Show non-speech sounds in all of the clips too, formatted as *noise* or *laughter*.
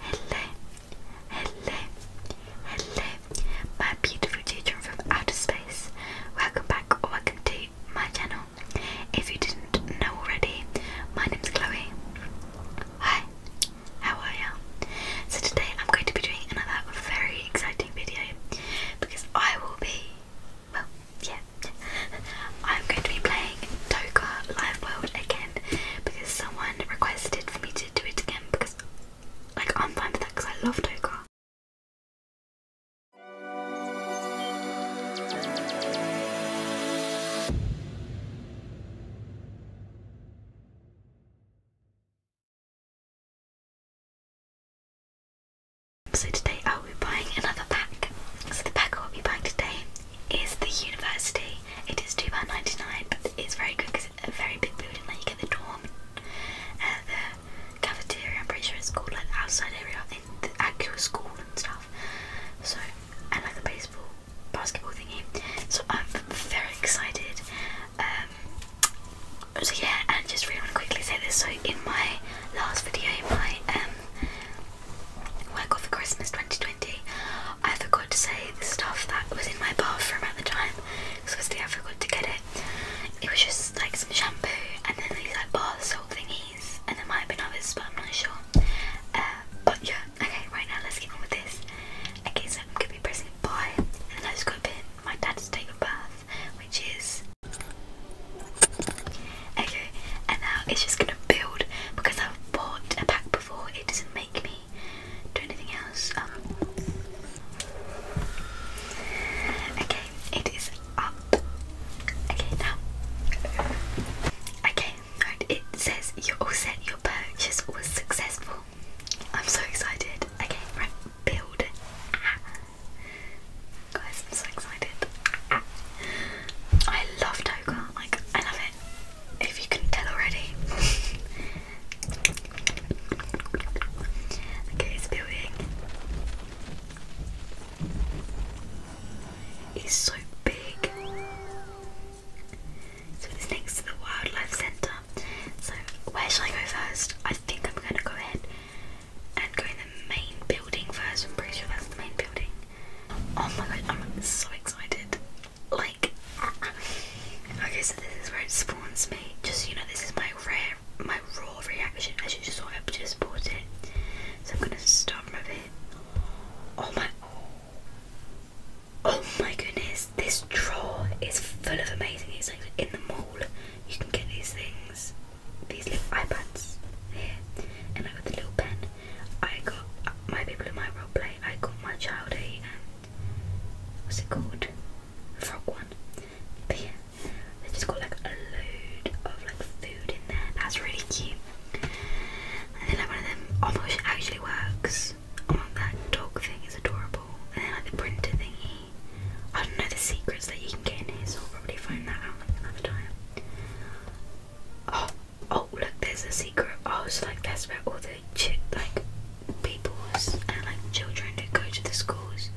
Hello, hello, hello, my beautiful children from outer space. Welcome back welcome to my channel. If you didn't know already, my name's Chloe. Hi, how are you? So today I'm going to be doing another very exciting video because I will be, well, yeah, *laughs* I'm going to be playing Toka Live World again because someone requested for me to do it again because like I'm fine with that because I love Toka. So today I will be buying another pack. So the pack I will be buying today is the university. It is £2.99, but it's very good because it's a very big building. Like, you get the dorm, uh, the cafeteria, I'm pretty sure it's called, like, outside area in the actual school and stuff. So, and like the baseball, basketball thingy. So, I'm very excited. Um, so yeah, and just really want to quickly say this. So in my last video, my um, work off for Christmas 2020, I forgot to say the stuff that was in my bathroom at the time because obviously I forgot to get it. It was just like some shampoo and then these like bath salt thingies, and there might have been others, but I'm not sure. Uh, but yeah, okay, right now let's get on with this. Okay, so I'm gonna be pressing buy, and then I just got in my dad's taking a bath, which is. Okay, and now it's just gonna build because I've bought a pack before. It doesn't make me do anything else. Um, okay, it is up. Okay, now. Okay, It says you're all set. Your purchase was successful. I'm so excited. Okay, right. Build. Guys, I'm so excited. I love Toka, like, I love it if you could tell already. *laughs* okay, it's building. It's so big. So it's next to the wildlife centre. So where shall I go first? I think I'm gonna go ahead and go in the main building first. I'm pretty sure that's the main building. Oh my god, I'm so excited. Like, okay, so this is where it spawns me. Just you know, this is my rare, my raw reaction. as you just thought I just bought it. So I'm gonna start from it. Oh my. Oh my goodness, this drawer is full of amazing things. Like in the mall, you can get these things, these little iPads here, and I got the little pen. I got my people in my role play. I got my child a and what's it called? A frog one. But yeah, they just got like a load of like food in there. That's really cute. And then like one of them, oh my gosh, it actually works. Oh that dog thing is adorable. And then like the printer thingy. I don't know the secrets that you can get in here, so I'll probably find that out like another time. Oh, oh look there's a secret oh it's like that's where all the ch like people and like children that go to the schools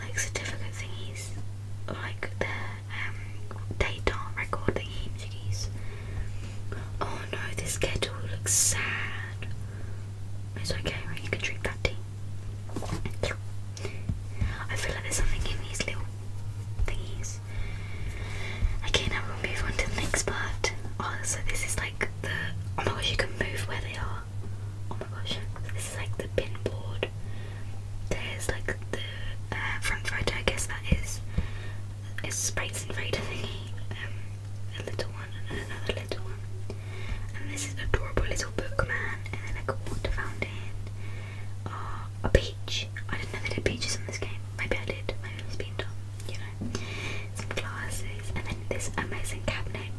like certificate things. like the um don't record thingies oh no this kettle looks sad it's okay right you can drink that tea I feel like there's something in these little things. Okay, now we'll move on to the next part. Oh, so this is like the. Oh my gosh, you can move where they are. Oh my gosh, this is like the pin board. There's like the uh, front rider, I guess that is. It's sprites and Raider Um, a little one and another little one. And this is adorable little book man, and then like a water fountain a beach. I do not know if they did beaches in this game. Maybe I did. Maybe it's been done. You know, some glasses, and then this amazing cabinet.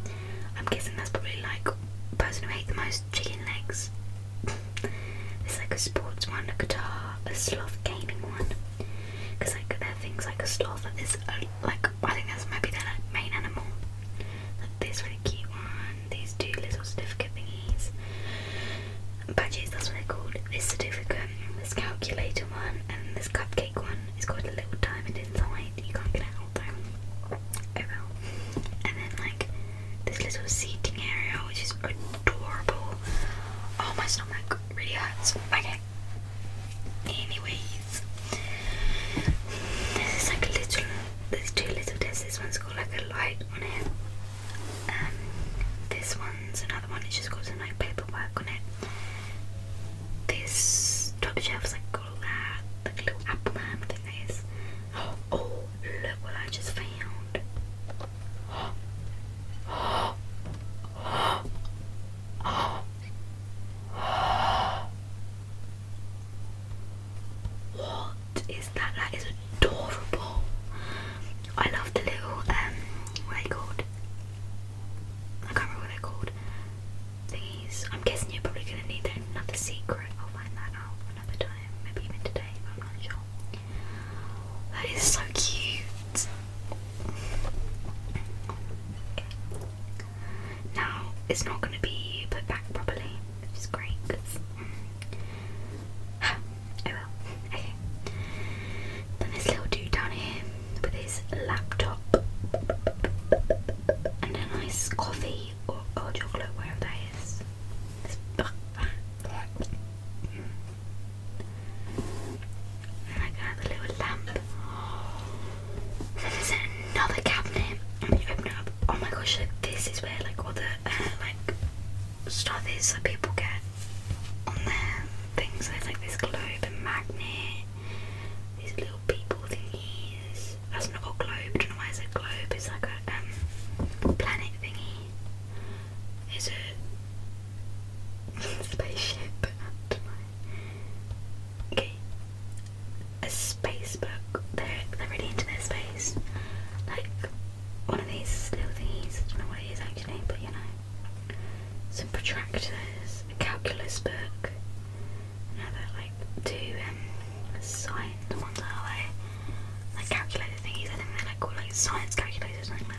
I'm guessing that's probably like the person who ate the most chicken legs. There's *laughs* like a sports one, a guitar, a sloth gaming one. Because like there are things like a sloth that is a, uh, like I think that's maybe their main animal. Like this really cute one, these two little certificate thingies. Badges, that's what they're called. This certificate this calculator one and this cupcake one is got a little diamond inside. You can't get it out though. Oh well. And then like this little seating area which is adorable. Oh my stomach really hurts. Okay. Anyways. This is like a little there's two little desks. This one's got like a light on it and um, this one's another one, it's just got some like paperwork on it. This top shelf's like got that, little apple man thing *gasps* Oh, look what I just found. *gasps* *gasps* What is that? That is a adorable. I love the little um what are they called? I can't remember what they're called. Thingies. I'm guessing you're probably gonna need another secret. I'll find that out another time, maybe even today, I'm not sure. That is so cute. Now it's not gonna be put back properly, which is great because hmm okay. Then this little dude down here with his laptop and a nice coffee or, or chocolate, wherever that is. and I got the little lamp. So there's another cabinet, and you open it up. Oh my gosh! Like this is where like all the uh, like stuff that people get things. like this globe and magnet, these little people thingies. That's not a globe. don't know why it's a globe. It's like a um, planet thingy. It's a *laughs* spaceship. *laughs* Okay, a space book. They're they're really into their space. Like one of these little thingies. I don't know what it is actually, but you know, some protractors, a calculus book. another like two um, science the ones that like, like calculator thingies. I think they're like called like science calculators, something like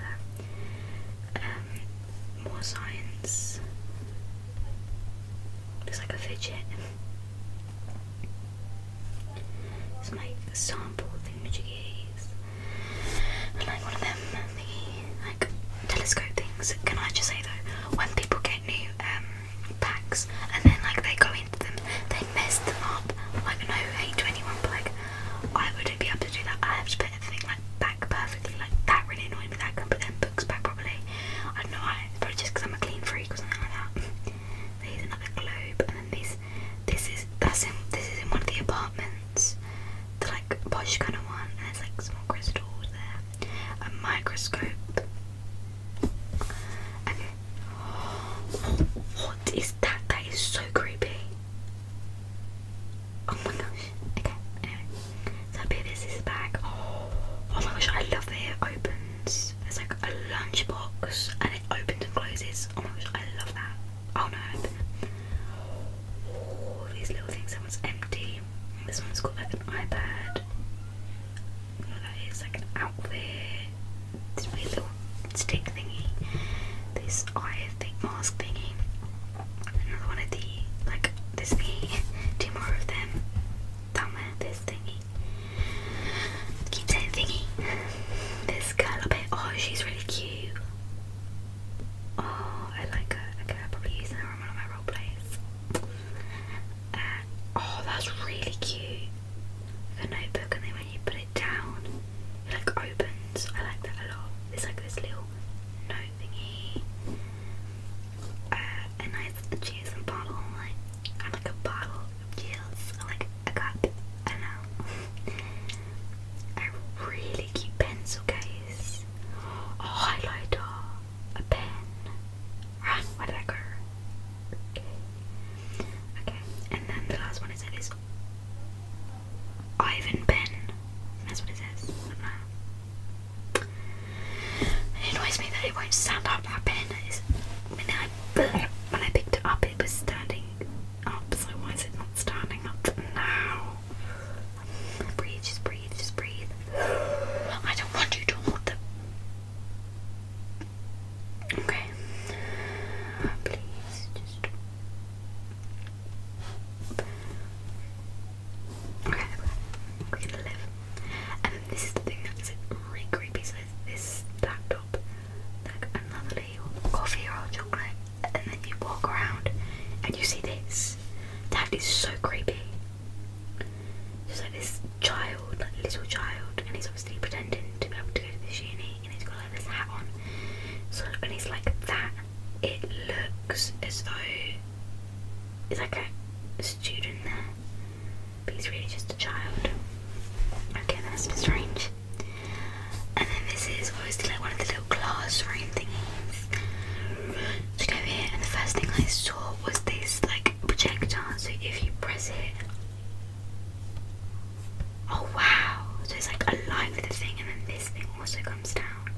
that. Um, more science. Looks like a fidget. Some like sample energy keys. And like one of them, the like telescope things. Can I just say though, when people get new um, packs and then like they go into them, they mess them up. Like no hate to but like I wouldn't be able to do that. I have to put everything like back perfectly. Like that really annoyed me. That I put them books back properly. I don't know why. probably just I'm a clean freak or something like that. There's another globe, and then these this is that's in this is in one of the apartments, the like posh kind of one, and there's like small crystals there, a microscope. Okay, what is that? That is so creepy. Oh my gosh. Okay. Anyway, so here this bag. Oh, my gosh, I love it. It opens. It's like a lunchbox, and it opens and closes. Oh my gosh, I love that. Oh no. All these little things. That one's empty. This one's got like an iPad. You oh, know that is like an outfit. This weird little stick thingy. This eye thing mask thingy. Another one of the like this thingy. *laughs* Two more of them. Down there, this thingy. Keep saying thingy. *laughs* This girl up here. Oh, she's really cute. Oh, I like her. Okay, probably use her in one my role plays. Uh, oh, that's really cute. Like notebook, and then when you put it down, it like opens. I like that a lot. It's like this little note thingy. Uh, and I cheers and bottle, like, and like a bottle of gels, like a cup. I know. a really cute pencil case. A highlighter. A pen. Ah, where did I go? Okay. And then the last one is it is Ivan pen. That's what it says. It annoys me that it won't stand up. That pen is when I when I picked it up, it was standing up, so why is it not standing up now? Breathe, just breathe, just breathe. I don't want you to hold them. Okay. Please, just. Okay, we're gonna live. And this is the thing that's really creepy. So this laptop, like another coffee or chocolate, and then you walk around and you see this. That is so creepy. There's like this child, like little child, and he's obviously pretending to be able to go to this uni, and he's got like this hat on. So and he's like that. It looks as though it's like a student there, but he's really just a child. Okay, that's strange. And then this is obviously like one of the little classroom thingies. So go here, and the first thing I saw was this like projector. So if you press it, oh wow! So it's like a aligned with the thing, and then this thing also comes down.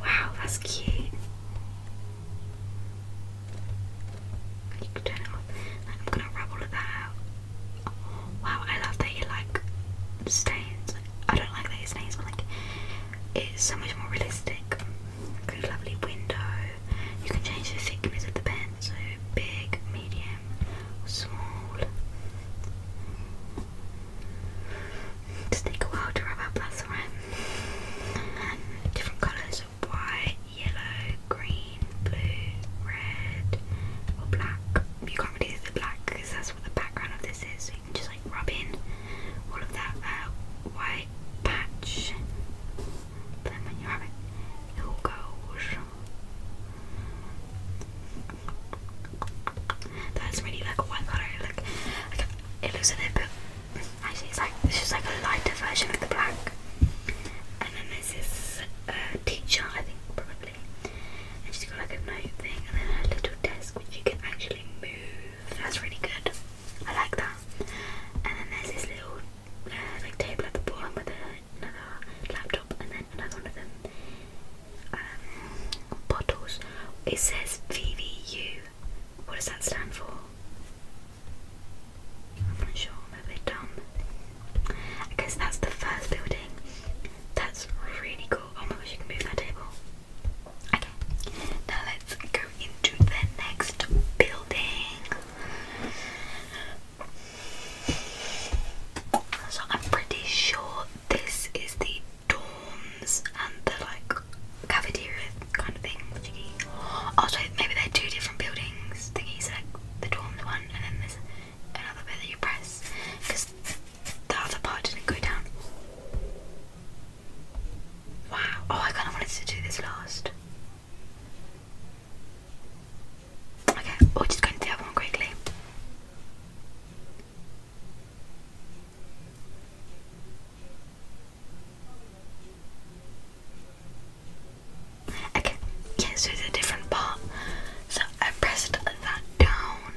Wow, that's cute. You can turn it off. I'm gonna rub all of that out. Wow, I love that you like stains. I don't like that it's stains, but like it's so much more realistic. lovely window. You can change the thickness of the pen, so big, medium, small. Just take a while to rub out, that's alright. different colours, white, yellow, green blue, red, or black. You can't really see the black because that's what the background of this is. So you can just like rub in all of that white patch. then when you have it, it all goes. That's really like white colour. Like, like it looks a little bit. Actually, it's like it's just like a lighter version of the black. And then there's this uh, teacher, I think probably and she's got like a note thing and then her little desk which you can actually move. That's really good. I like that. And then there's this little uh, like table at the bottom with another laptop and then another one of them um, bottles. It says VVU. What does that stand for? I'm not sure. I'm a bit dumb. Because that's the first building. That's really cool. Oh my gosh, you can move that table. Okay, now let's go into the next building. So I'm pretty sure this is the dorms and the like cafeteria kind of thing. Also, oh, maybe they're two different buildings. Thingies like the dorm one, and then there's another bit that you press because the other part didn't go down. Wow. Oh, I kind of wanted to do this last. Okay, we'll just go into the other one quickly. Okay, yeah, it's a different part. So I pressed that down.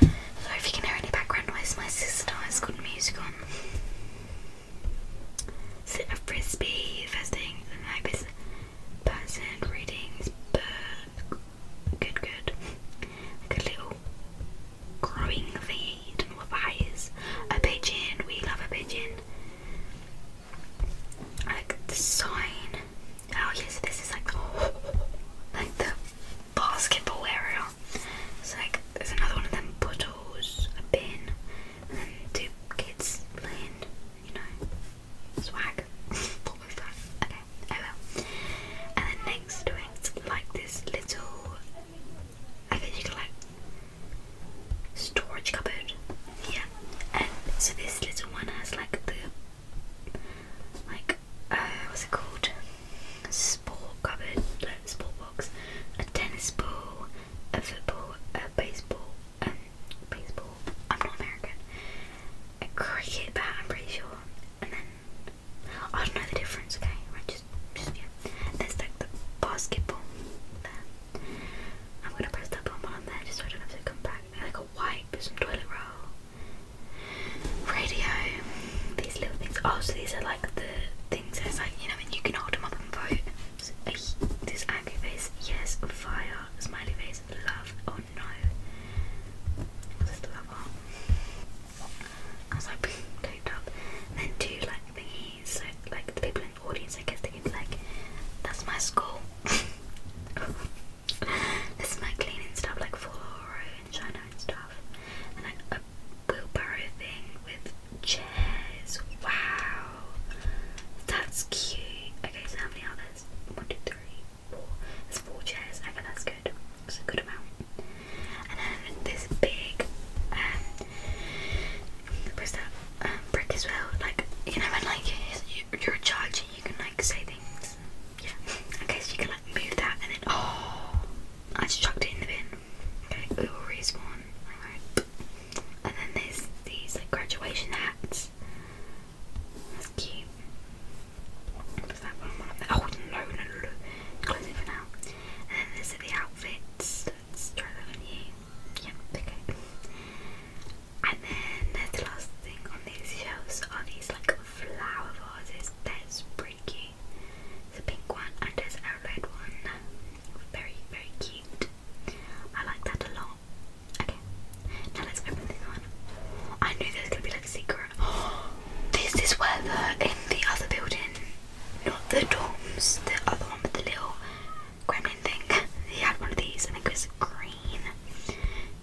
So if you can hear any background noise, my sister has got music on. Sit a frisbee, visiting the night person, readings, bird. Good, good. Like a little growing feed and with eyes. A pigeon, we love a pigeon like the sign. Oh yes, this is like *gasps* like the basketball area. It's like there's another one of them puddles, a bin, and then two kids playing. You know, swag. *laughs* Okay, oh well. And then next to it, like this little. I think you could like storage cupboard. Yeah, and so this little one has like the like uh, what's it called? sport cupboard, like sport box, a tennis ball, a football, a baseball, um, baseball. I'm not American. A cricket bat, I'm pretty sure, and then. I don't know the difference, okay? Right, just, just, yeah. There's like the basketball I'm gonna press that button on there just so I don't have to come back. Like a wipe, some toilet roll, radio, these little things. Oh, so these are like the things that's like, you know, and you can hold them up and vote. So, this angry face, yes, fire, smiley face, love, oh no. What's this love on? I was like, *laughs* taped up. then two like thingies, like the people audience, I guess they can like, that's my school. *laughs* this is my cleaning stuff, like Flora and China and stuff. And like a wheelbarrow thing with chairs. Wow. That's cute. Okay, so how many are One, two, three, four. There's four chairs. Okay, that's good. That's a good amount. And then this big, um, what's that? brick as well. Like you know like you're a and you can like say things. Yeah. Okay, so you can like move that and then oh, I just chucked it in the bin. Okay, we will respawn. Alright. And then there's these like graduation hats. That's cute. Does that one? one oh no, no, no, no. Close it for now. And then there's the outfits. Let's try that on you. Yep, okay. And then the last thing on these shelves are these like flower vases. There's Bricky, pink one, and there's a red one. Very, very cute. I like that a lot. Okay, now let's open this one. I knew there was gonna be like a secret. *gasps* this is where the in the other building, not the dorms, the other one with the little gremlin thing. he had one of these. I it was green.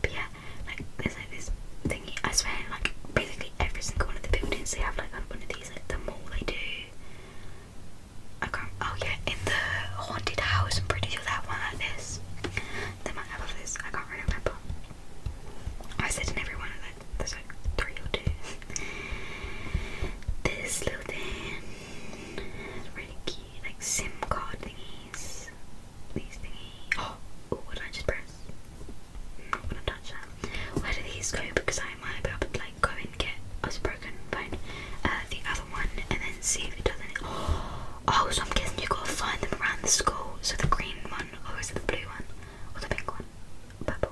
But yeah, like there's like this thingy. I swear, like basically every single one of the buildings they have like one of these. Like the mall they do. I can Oh yeah, in the haunted house. I'm pretty sure that one like this. They might have all this. I can't really remember. I said in every one of them. There's like three or two. this little thing. Really key, like SIM card thingies. These thingies. *gasps* Oh, what did I just press? not mm, gonna touch that. Where do these go? Because I might be able to like go and get a broken phone. Uh, the other one, and then see if it doesn't. Oh, *gasps* oh, so I'm guessing you gotta find them around the school. So the green one, or is it the blue one, or the pink one, purple?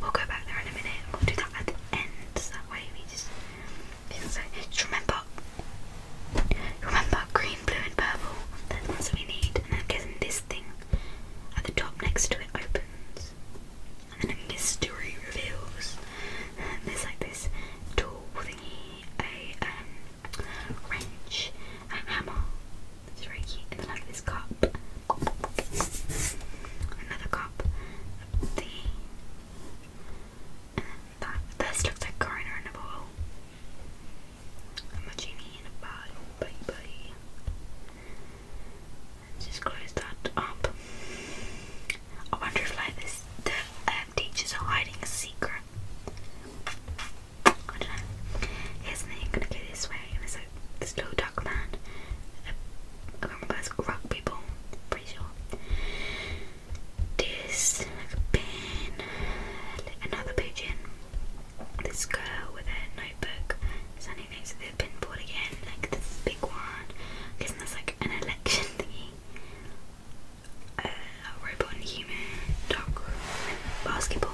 We'll go back there in a minute. We'll do that at the end. that way we just just remember, remember green, blue, and purple. That's what we need. And I'm guessing this thing at the top next to it opens, and then a mystery reveals. And there's like this tool thingy, a um, wrench, a hammer. It's very cute. And then like this cup, another cup, the that, this looks like Garner in a bottle. I'm a genie in a bottle, baby. Let's just close that up. I wonder if like this, the um, teachers are hiding a secret. I don't know. Here's the thing, gonna go this way, and there's like this little man. I can't remember, it's rugby ball, pretty sure this pin, another pigeon, this girl with her notebook standing next to the pinboard again, like this big one. I guess like an election thingy. robot human, dark basketball.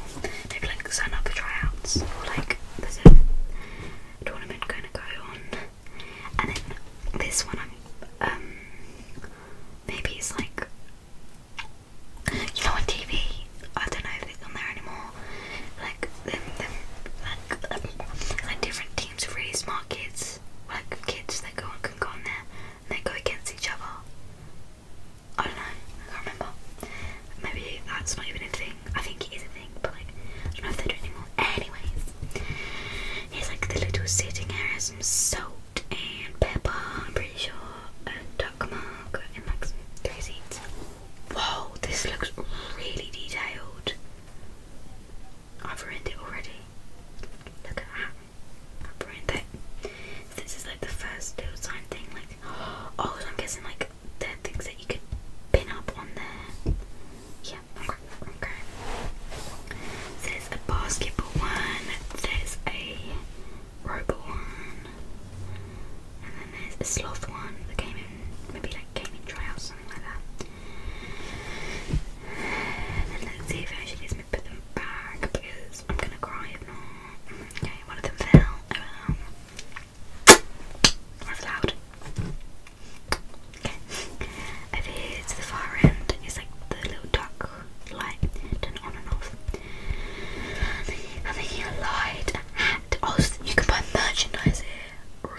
They've like signed up for tryouts, or like there's a tournament going to go on and then this one i um maybe it's like you know on TV I don't know if it's on there anymore like like, um, like different teams of really smart kids like kids that go on can go on there and they go against each other I don't know I can't remember maybe that's not even a thing I think it is a thing but like I don't know if they do anymore anyways He's like the little sitting area, some salt and pepper, pretty sure, and duck mark, and like some three this looks really detailed. I've ruined it already. Look at that. I've ruined it. this is like the first little sign thing, like, *gasps* oh, I'm guessing like they things that you could pin up on there. Yeah, okay. There's a basketball one, there's a robot one, and then there's a sloth one that came in, maybe like came in trial something like that. And let's see if I actually just put them back because I'm gonna cry if not. Okay, one of them fell. Oh well. That's loud. Okay. Over here to the far end is like the little duck light, turn on and off. I'm thinking light, a hat. Oh, you can buy merchandise here.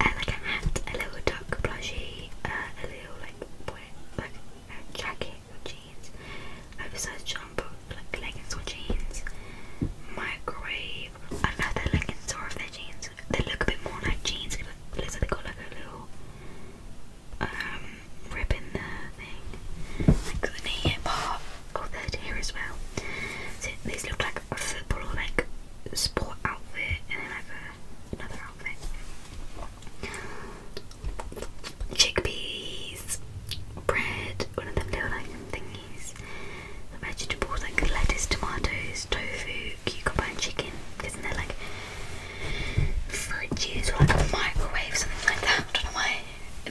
like a hat, a little duck plushie, uh, a little like jacket jeans, oversized jumper, like leggings or jeans, microwave cute. I love their leggings or if jeans. They look a bit more like jeans because they've got like a little um, rib in the thing. Like the knee part. Oh, third here as well. So these look like a football or like sport outfit and then like a, another outfit. Chickpeas, bread, one of them little like thingies. The vegetables like lettuce, tomatoes, tofu, cucumber and chicken, isn't there like fruit juice or like a microwave, something like that? I don't know why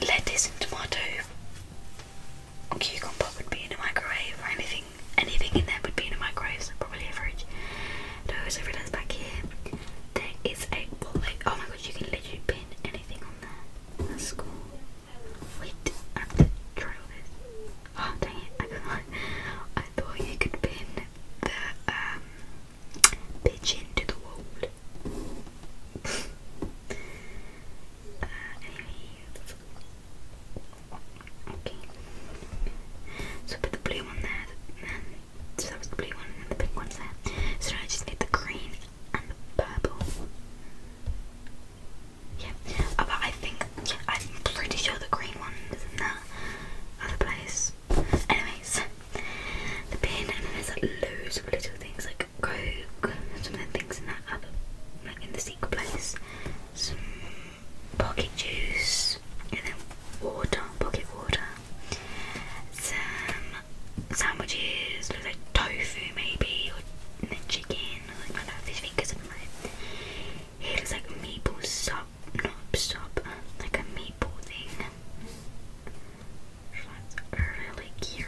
lettuce and tomato cucumber would be in a microwave or anything anything in there would be in a microwave, probably a fridge. And I also realised back here there is a Oh my god, you can literally pin anything on there. That's Wait, I have Oh dang it, I thought you could pin the pigeon um, to the wall. *laughs* uh, anyways. Okay. So I put the blue one there, and so that was the blue one and the pink one's there. So I just need the green and the purple. Yeah, uh, but I think yeah, I'm pretty sure the green one is in that other place. Anyways, the bin and then there's like loads of little things like coke, some of the things in that other, like in the secret place, some pocket juice, and then water, pocket water, some sandwiches, like tofu maybe, or then chicken, or like my fish fingers and my it looks like maple sop, not sop, like a maple thing. That's really cute.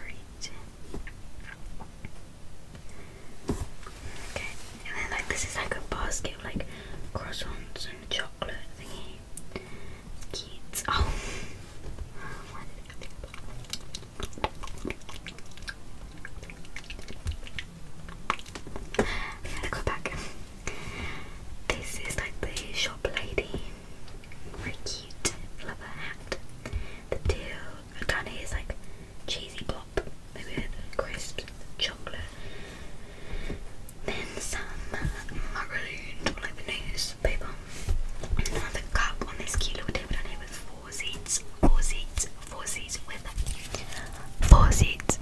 Okay, and then like this is like a basket like croissants and chocolate thingy. It's Oh, I gotta go back. This is like the shop lady. Very cute. Love hat. The deal kind of like cheesy pop, maybe crisps, chocolate. Then some macaroon, like the newspaper. Another cup on this cute little table down here with four seats, four seats, four seats with four seats.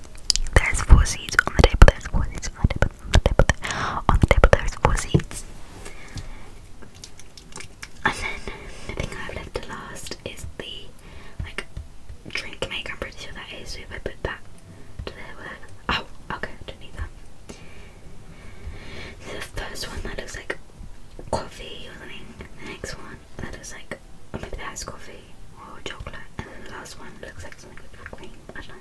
There's four seats on the table, there's four seats on the table, on the table, there's four seats. And then the thing I've left to last is the like drink maker, I'm pretty sure that is, so if I put that to there oh okay, I that. So the first one that looks like coffee the next one that is like maybe that has coffee or chocolate, and then the last one looks like something with cream. I don't know.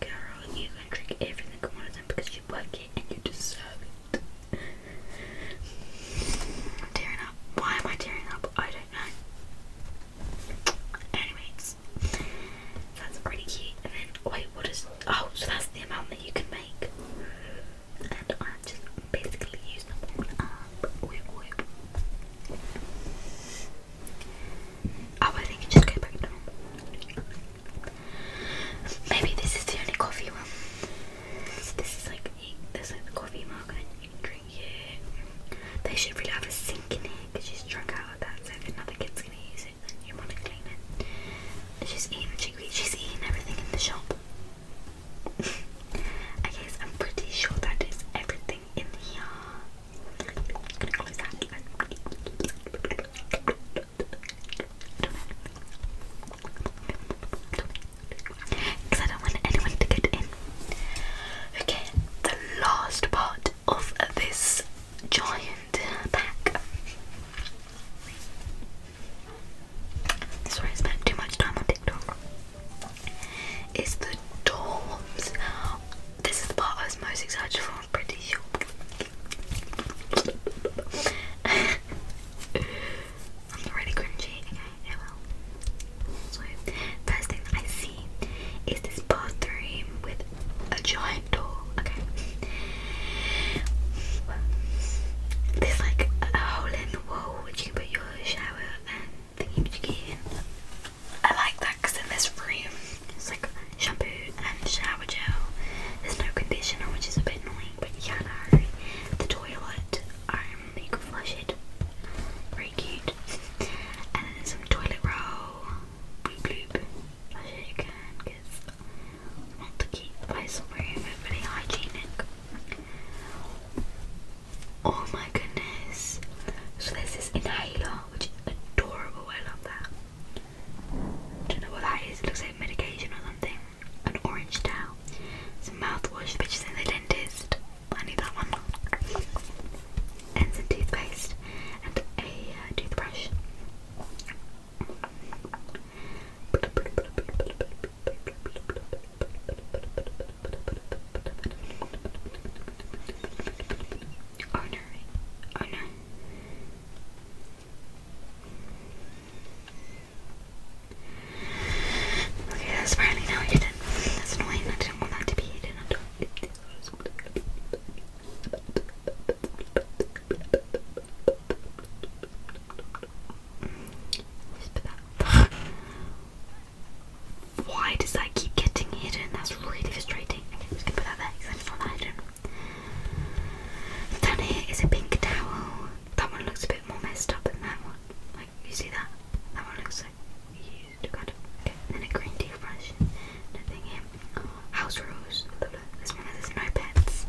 Girl, you can drink everything one of them because you work it and you deserve it. I'm tearing up. Why am I tearing up? I don't know. Anyways, that's pretty cute. And then, wait, what is. Oh, so that's the amount that you can make. I just basically use them all up. I think it just go back to Maybe this is the only coffee one. this is like there's like the coffee mug and drink it. They should really have a sink in here because she's drunk out of that. So if another kid's gonna use it, then you want to clean it. She's eating chickpeas. She's eating everything in the shop. I guess I'm pretty sure that is everything in here. I'm gonna close that. Because I don't want anyone to get in. Okay, the last part of this giant pack Sorry, I spent too much time on TikTok. Is the dorms. This is the part I was most excited for, I'm pretty sure. *laughs* I'm already cringy. Okay, So, first thing I see is this bathroom with a giant door. Okay. There's like a hole in the wall which you can put shower and thingy again. I like that because in this room it's like shampoo and shower gel. There's no conditioner, which is a bit annoying, but yeah, no. The toilet, um, you can flush it. Very cute. And then some toilet roll. Bloop bloop. Flush it again because want to keep my room really hygienic. Oh my goodness. So there's this inhaler, which is adorable. I love that. Don't know what that is. It looks like medication or something. An orange towel. It's a mouthwash, which is in the dentist. I need that one. And some toothpaste and a uh, toothbrush. Honor, honor. Okay, that's finally now hidden. That's annoying. I didn't want that to be hidden at all. *laughs* Why does that keep getting hidden? That's really frustrating. just gonna put that there it's not hidden. Down here is a pink towel. That one looks a bit more messed up than that one. Like, you see that? That one looks like used. Okay, then a green toothbrush. Nothing here. House rules. This one says no pets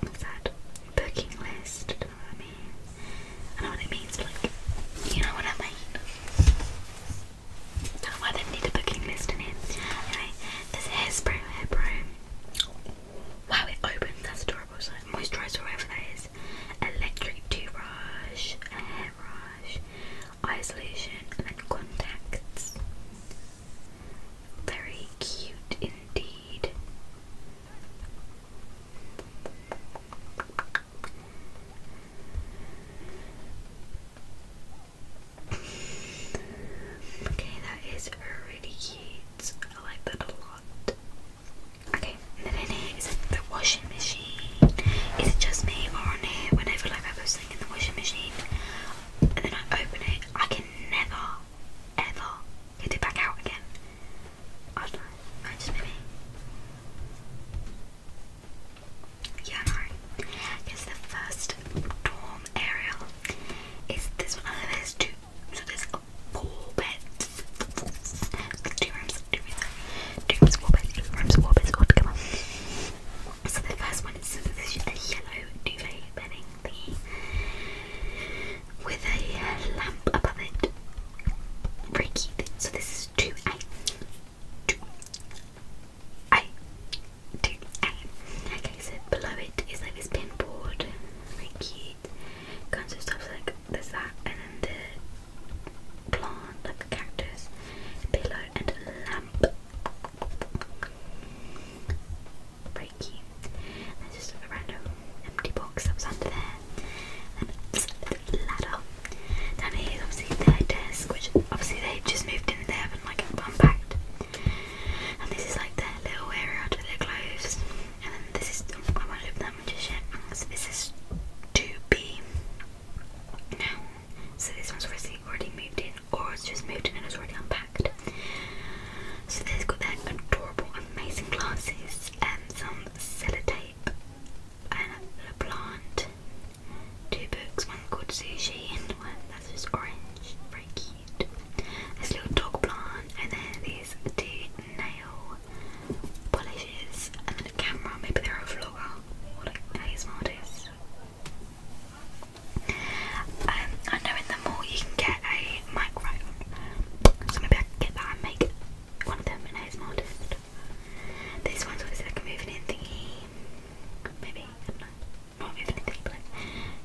what's that? Booking list, I don't know what I mean. it means, like, you know what I mean. Don't need a booking list in here. Anyway, this hairspray hair Wow, it opened, that's adorable. So, moisturizer, whatever that is. Electric toothbrush, hairbrush, eye solution, and then contacts. Very cute indeed okay, that is really cute. I like that a lot. Okay, then in here is the washing machine. Is it just me or on here whenever like I post something in the washing machine and then I open it, I can never ever get it back out again. Offline. Yeah, no. Because the first dorm area is this one. Oh, there's two. So there's four beds. Two rooms, two rooms. Two rooms, four beds, two rooms, four beds all together. So the first one is this is a yellow duvet bedding thingy with a uh, lamp above it. So this is two Okay, so below it is like this pin cute. Kinds of stuff like there's that and then the plant, like a cactus, pillow and a lamp pretty cute. there's just a random empty box that was under there. And a ladder. Down here is obviously their desk, which obviously they just moved in they haven't like unpacked. And this is like their little area to their clothes. And then this is oh, I won't open that one just yet. So this is 2B. Now, so this one's obviously already moved in, or it's just moved in and it's already unpacked. So they've got their adorable, amazing glasses. And some sellotape and a plant. Two books, one called Sushi and one that's just orange, very cute. This little dog plant, and then these two nail polishes, and then a camera. Maybe they're a vlogger or like nails artist. Um, I know in the mall you can get get a microphone. So maybe I get that and make one of them an ASMR artist. This one's obviously like a moving in thingy. Maybe, I not know. Not but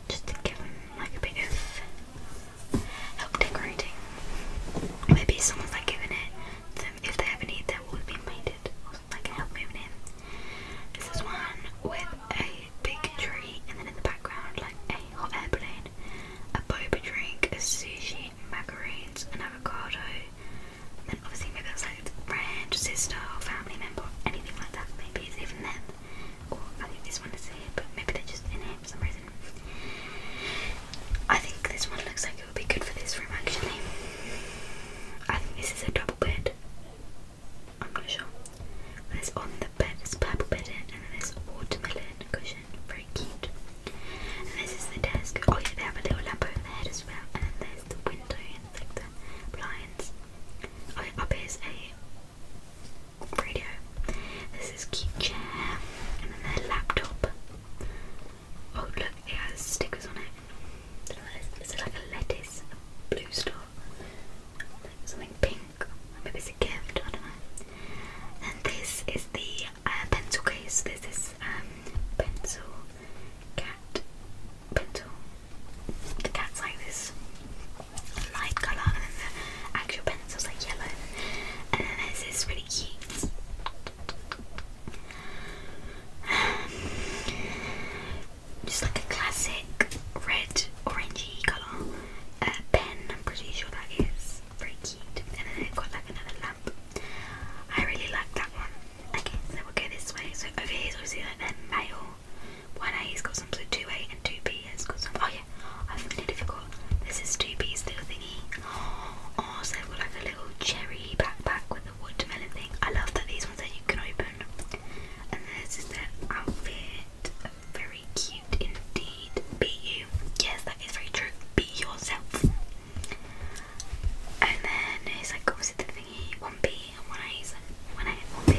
just to give them like a bit of help decorating. Maybe someone's like giving it them if they ever need their walls being painted like help moving in. This is one with a big tree and then in the background like a cafe or airplane, a boba drink, a sushi, macaroons, an avocado. Then obviously maybe that's like friend, sister, family member, anything like that. Maybe it's even them. I think this one is here, but maybe they're just in here for some reason. I think this one looks like it would be good for this room actually. I think this is a double bed. I'm not sure. There's on the bed, there's purple bedding, and then there's watermelon cushion. Very cute. this is the desk. Oh yeah, they have a little lamp on there as well. And then there's the window and like the blinds. Oh yeah, up here's a radio. This is cute chair. And then their laptop. Oh look, it has stickers on it. Is it like a lettuce? A blue star? Something pink. Maybe it's a gift, I don't know. And this is the uh, pencil case. This is um, pencil cat pencil. The cat's like this light colour, and then the actual pencil's like yellow. And then there's this really cute. just like a classic red orangey colour uh, pen, I'm pretty sure that is it's very cute. And then I've got like another lamp. I really like that one. Okay, so we'll go this way. So over here is obviously like their mail. One A has got some two A and two B has got some oh yeah, I've nearly forgot. This is two B's little thingy. Oh so have a little cherry backpack with a watermelon thing. I love that these ones that you can open. And this is their outfit. Very cute indeed. Be you. Yes, that is very true. Be yourself. And then he's like, what was it the thingy? One B one A. One A one B.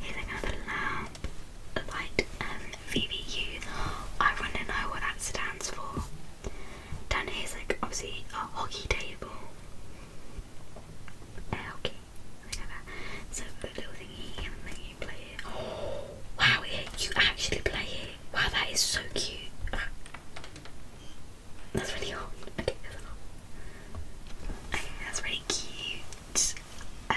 He's another lamp, light, VVU. I want to know what that stands for. Down here's like obviously a hockey table. Uh, okay, So the little thingy and *gasps* wow, you actually play it. Wow, that is so cute. That's really hot. that's really cute. Um,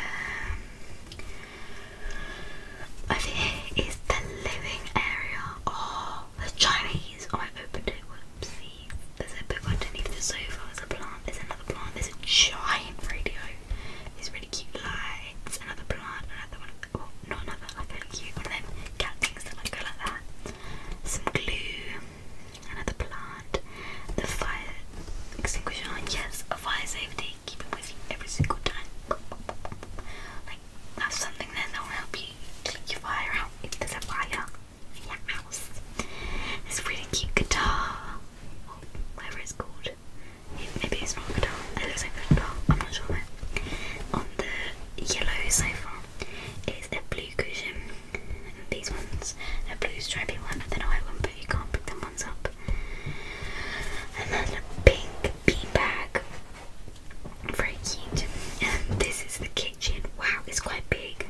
over here is the living area. Oh, the Chinese. Oh, I opened it. Whoopsie. There's a book underneath the sofa. There's a plant. There's another plant. There's a giant radio these really cute lights, another plant, another one, well, oh, not another, like cute one of them cat things that like like that, some glue, another plant, the fire extinguisher, yes, a fire safety, keep it with you every single time. have something there that will help you click your fire out if there's a fire in your house. This really cute guitar, or oh, whatever it's called. Maybe it's not a doll. It looks like a doll. I'm not sure. On the yellow sofa is a blue cushion. these ones, the blue stripy one, and then a white one, but you can't pick them ones up. And then the pink bean bag. Very cute. this is the kitchen. Wow, it's quite big.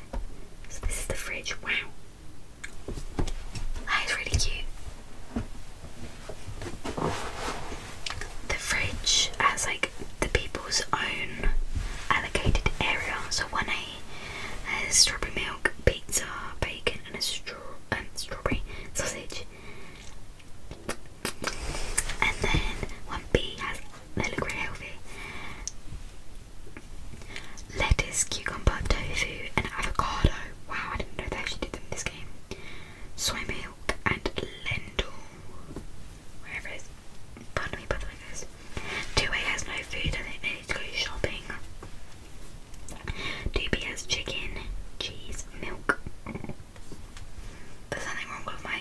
So this is the fridge. Wow. That ah, is really cute. The fridge has like the people's own allocated area. So one A has strawberry milk, pizza, bacon, and a straw um, strawberry sausage. And then one B has they look really healthy. Lettuce, cucumber, tofu, and avocado wow, I didn't know they actually did in this game. Soy milk and Lendl. Wherever it is. Pardon me, by the way, 2A has no food and they need to go shopping. Doobie has chicken, cheese, milk. There's nothing wrong with my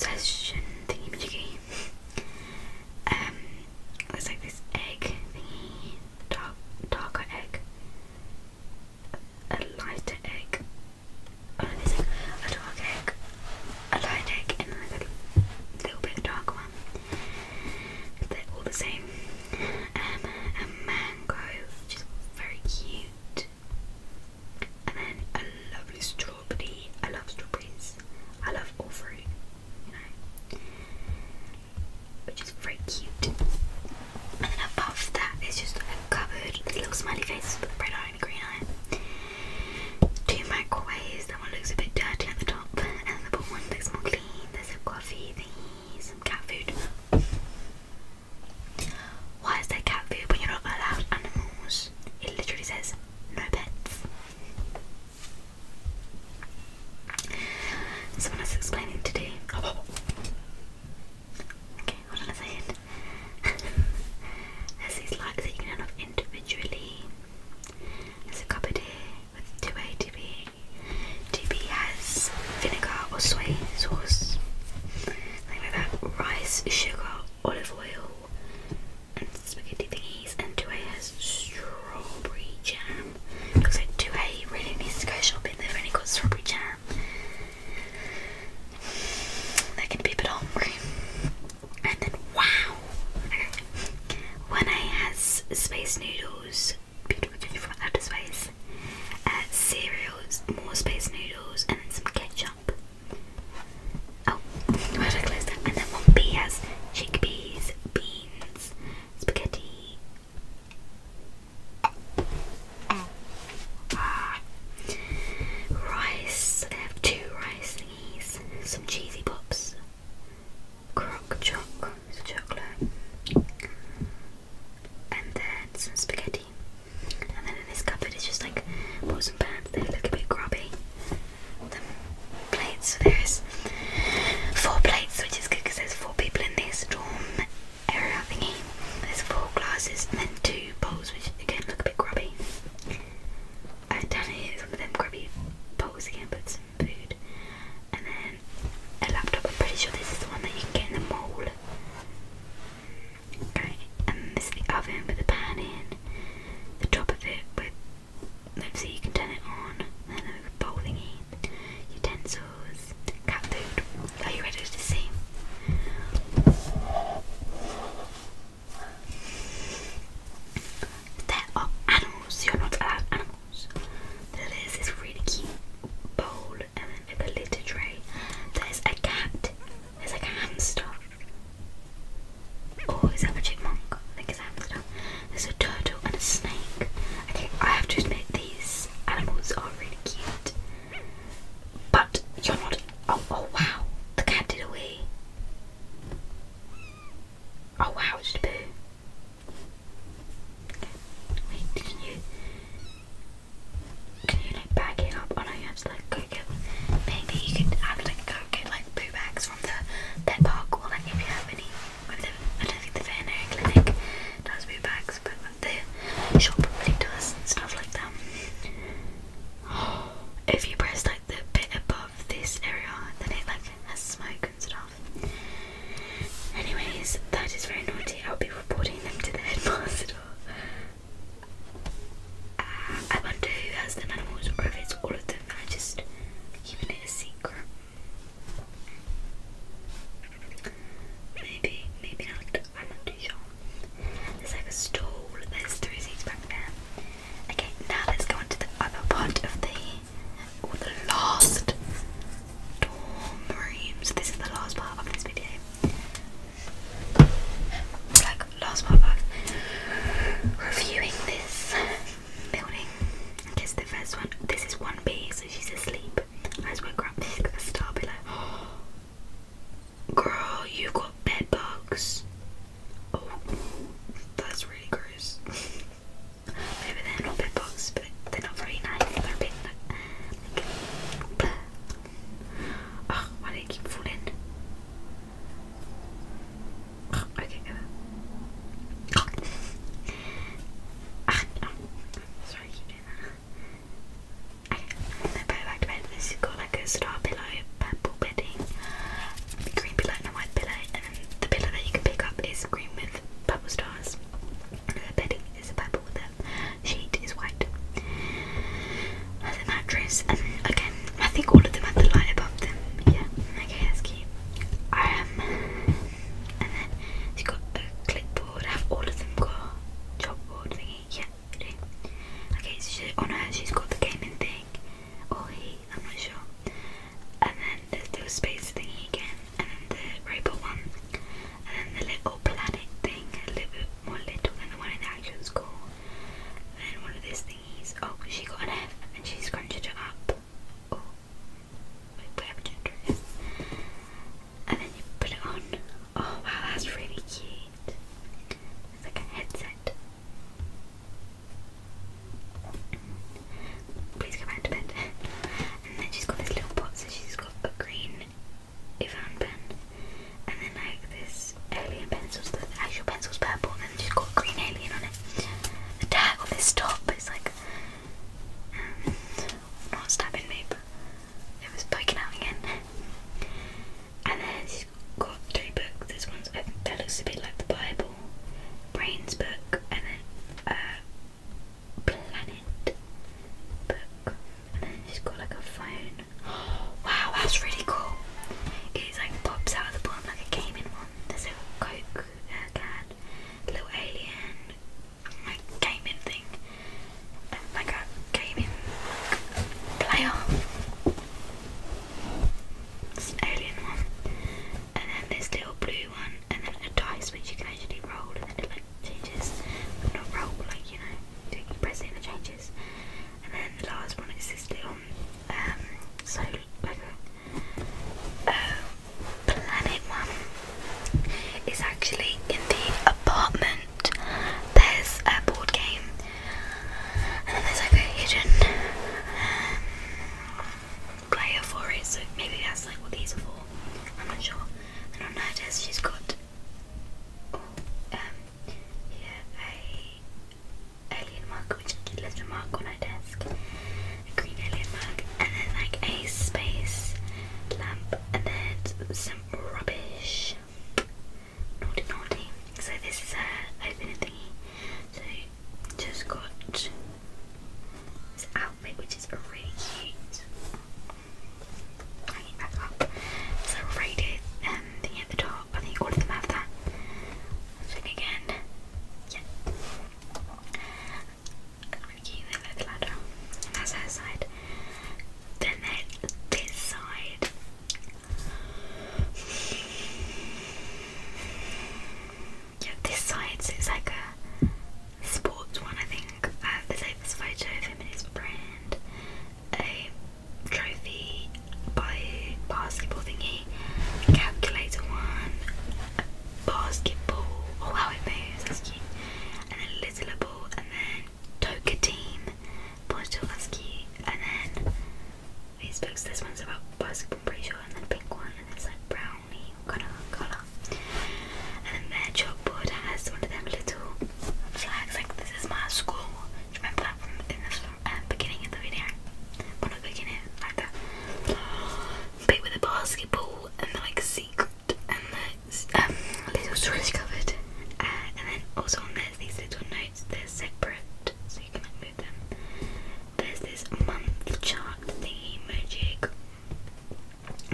digestion thingy Um, there's like this egg thingy, dark, darker egg, a lighter egg, oh, a dark egg, a light egg, and like a little bit darker one. They're all the same. Um, a mango, which very cute, and then a lovely strawberry. I love strawberries. I love all fruit you which is very cute. And then above that is just a cupboard with little smiley faces red eye and green eye. Two microwaves, that one looks a bit dirty at the top, and the bottom one looks more clean. There's a coffee some cat food. Why is there cat food when you're not allowed animals? It literally says no pets. Someone has explained today. Oh. Okay, hold on a second. There's *laughs* these lights that you can turn individually. There's a cupboard here with 2A, 2B. 2B has vinegar or soy sauce, something like that, rice, sugar, olive oil, and spaghetti thingies, and 2A strawberry jam. Because I do A really needs to go shopping, they've only got strawberry jam. That can be a bit hungry. And then wow! One eye has space noodles, beautiful candy from outer space, uh, cereals, more space noodles, and then some ketchup. Oh, why did I close And then one B has chickpeas, beans, Spaghetti. Ah. Rice. I have two rice thingies. Some cheesy pops. Crock choc. chocolate. And then some spaghetti. And then in this cupboard is just like pots and pans. They look a bit grubby. The plates. there's Four plates, which is good because there's four people in this dorm area thingy. There's four glasses and then two bowls, which again look a bit grubby. And down here is some of them grubby bowls again, but some food. And then a laptop. I'm pretty sure this is the one that you can get in the mall. Okay, and this is the oven with the pan in. The top of it but. Let's see. you can turn it on. then the bowl thingy, utensils, cat food. Are you ready to see? There are animals, you're not allowed animals. There is this really cute bowl and then a litter tray. There's a cat, there's like a hamster. Oh, is that a chipmunk? think it's a hamster. There's a turtle and a snake. Okay, I have to admit these animals are really cute. But you're not. Oh, oh wow! The cat did away. Oh wow! It's a poo. Wait, did you? Can you like bag it up? Oh no, you have to like go get. Maybe you can have go get like poo bags from the pet park or like if you have any. I don't think the veterinary clinic does brew bags, but the shop probably does and stuff like that. *gasps* If you press like the bit above this area, then it like has smoke and stuff. Anyways, that is very naughty. I'll be reporting them to the *laughs* headmaster. Uh, I wonder who has them animals, or if it's all of them I just keeping it a secret. Maybe, maybe not. I'm not too sure. There's like a stool. There's three seats back there. Okay, now let's go on to the other part of the or the last dorm room. So this is the last part of this video. Like last part of reviewing this building. I guess the first one. This is one B, so she's asleep. I just woke her up. star below. *gasps* Girl, you got bed Oh, that's really gross. *laughs* Maybe they're not bed but they're not very nice. oh, why do they keep falling? Okay. Ach, sorry, I keep doing that. Okay, I'm gonna bed. This has got like a star pillow, purple bedding, green pillow, and a white pillow, and then the pillow that you can pick up is green with purple stars. The bedding is purple, the sheet is white. And the mattress, and again, I think all of them have the light above them. Yeah, okay, that's cute. Um, and *laughs* then you've got a clipboard. I Have all of them got job board thingy? Yeah, Okay, so she, on her she's got the gaming thing, Oh, he, I'm not sure. And then there's the space thingy again, and then the robot one, and then the little planet thing, a little bit more little than the one in the actual school. And then one of these thingies. Oh, she got an F, and she's scrunched it up. Oh wait, whatever And then you put it on. Oh wow, that's really cute. It's like a headset. Please go back to bed. And then she's got this little pot, so she's got a green Ivan And then like this alien pencil, the actual pencil's purple, and then she's got green alien on it. The tag on this top is like um, not stabbing me, but it was poking out again. And then she's got three books. This one's I think that looks a bit like the Bible, Brains book, and then uh, Planet book. And then she's got like a phone. *gasps* wow, that's really cool. It like pops out of the bottom like a gaming one. There's a Coke uh, little alien like gaming thing, like a gaming player. alien one, and then this little blue one, and then a dice which you can actually roll, and then like changes. Not roll, like you know, press it and it changes. And then the last one is this little um, so like a Oh, Planet One is actually in the apartment. There's a board game, and there's like a hidden um, player for it. So maybe that's like what these are for. I'm not sure. And on her desk, she's got um, yeah, a alien mark, which let's remark on her desk, a green alien mug, and then like a space lamp, and then some rubbish. Naughty, naughty. So this is a opening thingy. So just got this outfit, which is really cute. Hang it back up. It's a rated um, the top. I think all of them have that. again. Yeah that's her side. Then there's this side. yeah, this side so it's like a sports one, I think. Uh, there's like this photo of him and his friend, a trophy by basketball thingy, calculator one, basketball, oh how it moves, that's cute. And then Lizzlable, and then Toka Team, Bonjour, that's And then these books, this one's about basketball, pretty sure, and then pink one, and it's like brownie kind of colour. And then their chalkboard has one them little flags, like this is my school. Do you remember that from the um, beginning of the video? One beginning, like that. But with a basketball and they're like secret and they're um, little stories covered. Uh, and then also on there's these little notes, they're separate so you can like move them. There's this month chart thingy magic.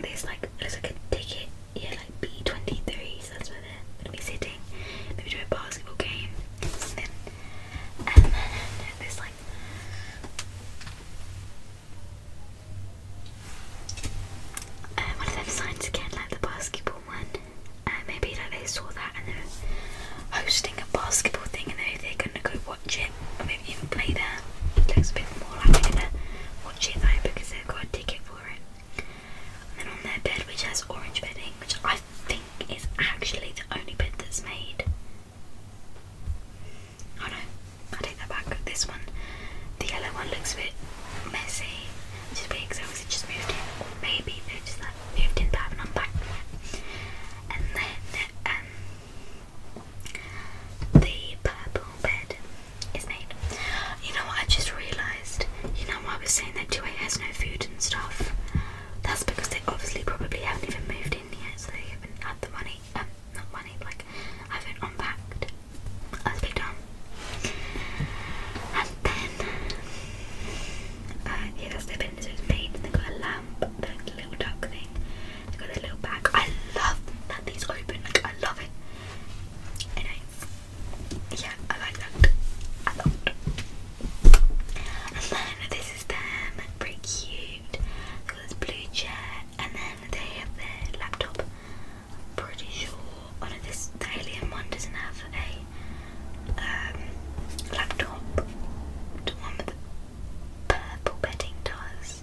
There's like there's like a ticket, yeah like B twenty three, so that's where they're gonna be sitting. Maybe do a basketball game. And and then there's like uh, one of them signs again, like the basketball one. Uh, maybe like they saw that and they are hosting a basketball thing, and they they're gonna go watch it, or maybe even play there. It looks a bit more like they're gonna watch it though because they've got a ticket for it. And then on their bed, which has orange bedding, which I think is actually the only bed that's made. Oh no, I take that back. This one, the yellow one, looks a bit messy. Just because I was just moved in, maybe they just like moved in, but haven't unpacked yet. And then um, the purple bed is made. You know what? I just realised. You know what I was saying that 2A has no food and stuff. That's because they obviously probably haven't even moved in yet, so they haven't had the money, um, not money, like have it unpacked as done. And then uh, yeah, that's the bin. it's made. They got a lamp, the little duck thing. They got a little bag. I love that these open. Like I love it. Anyway, yeah, I like that a lot. And then this is them. Pretty cute. They got blue chair and then they have their laptop. pretty sure one oh of this the alien one doesn't have a um, laptop. The one with the purple bedding does.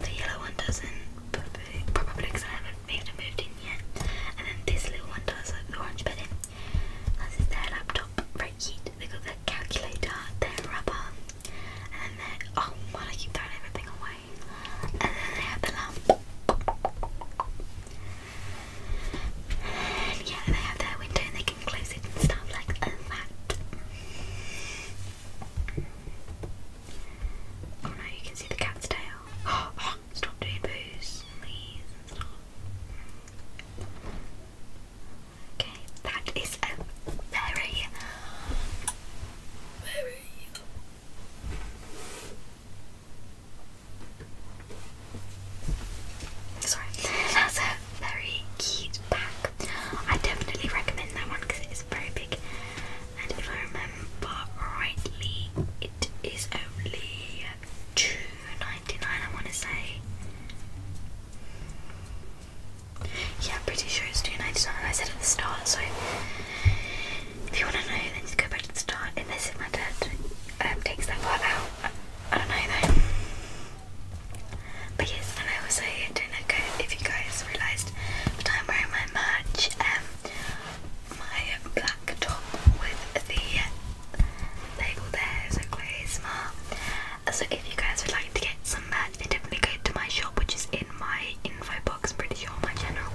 The yellow one doesn't, probably, because I haven't made a moved in yet. And then this little one does, like the orange bedding. This their laptop right here we got their calculator, their rubber, and then their oh why do I keep throwing everything away? And then they have the lamp. And yeah, they have their window and they can close it and stuff like that. Oh no, you can see the cat's tail. *gasps* Oh, stop doing booze, please. Okay, that is a very, very Sorry, that's a very cute pack. I definitely recommend that one because it is very big. And if I remember rightly, it is only two ninety nine. I want to say. Yeah, I'm pretty sure it's 299 I said at the start, so if you want to know, then just go back to the start. Unless if my dad um, takes that part out, I, don't know though. But yes, and I also don't know if you guys realised that I'm wearing my merch, um, my black top with the label there is a clearly so if you guys would like to get some merch, then definitely go to my shop, which is in my info box, pretty sure on my channel.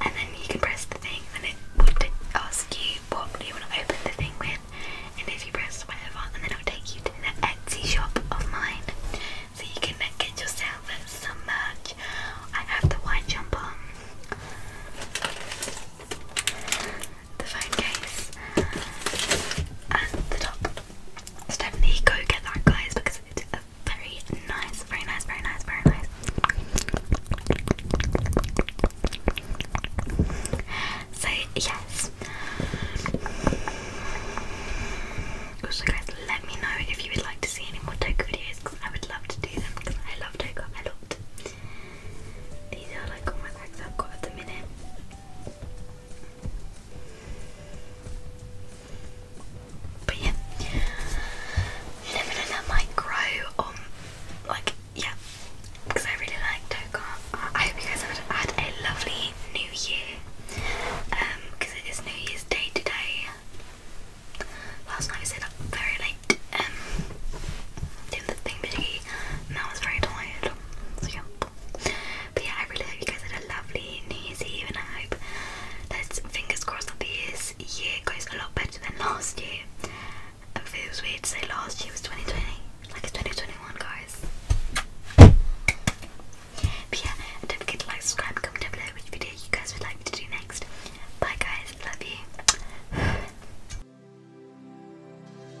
And then you can press the thing, and it would ask you what you want to open the thing with. And if you press whatever, and then it'll take you to the Etsy shop of mine, so you can get yourself some merch. I have the white jumper, the phone case, and the top definitely go get that, guys, because it's a very nice, very nice, very nice, very nice. So yes. Also, guys, let me know if you would like to see any more Toka videos because I would love to do them because I love Toka a lot. These are like all my bags I've got at the minute. But yeah, Lebanon I might grow on, um, like, yeah, because I really like Toka. I hope you guys have had a lovely New Year, because um, it is New Year's Day today. Last night I stayed up very late, um, doing the thing and I was very tired. So yeah. But yeah, I really hope you guys had a lovely New Year's Eve, and I hope let fingers crossed that this year goes a lot better than last year. It feels weird to say last year was 2020, like it's 2021, guys. But yeah, don't forget to like, subscribe, comment down below which video you guys would like me to do next. Bye, guys. Love you.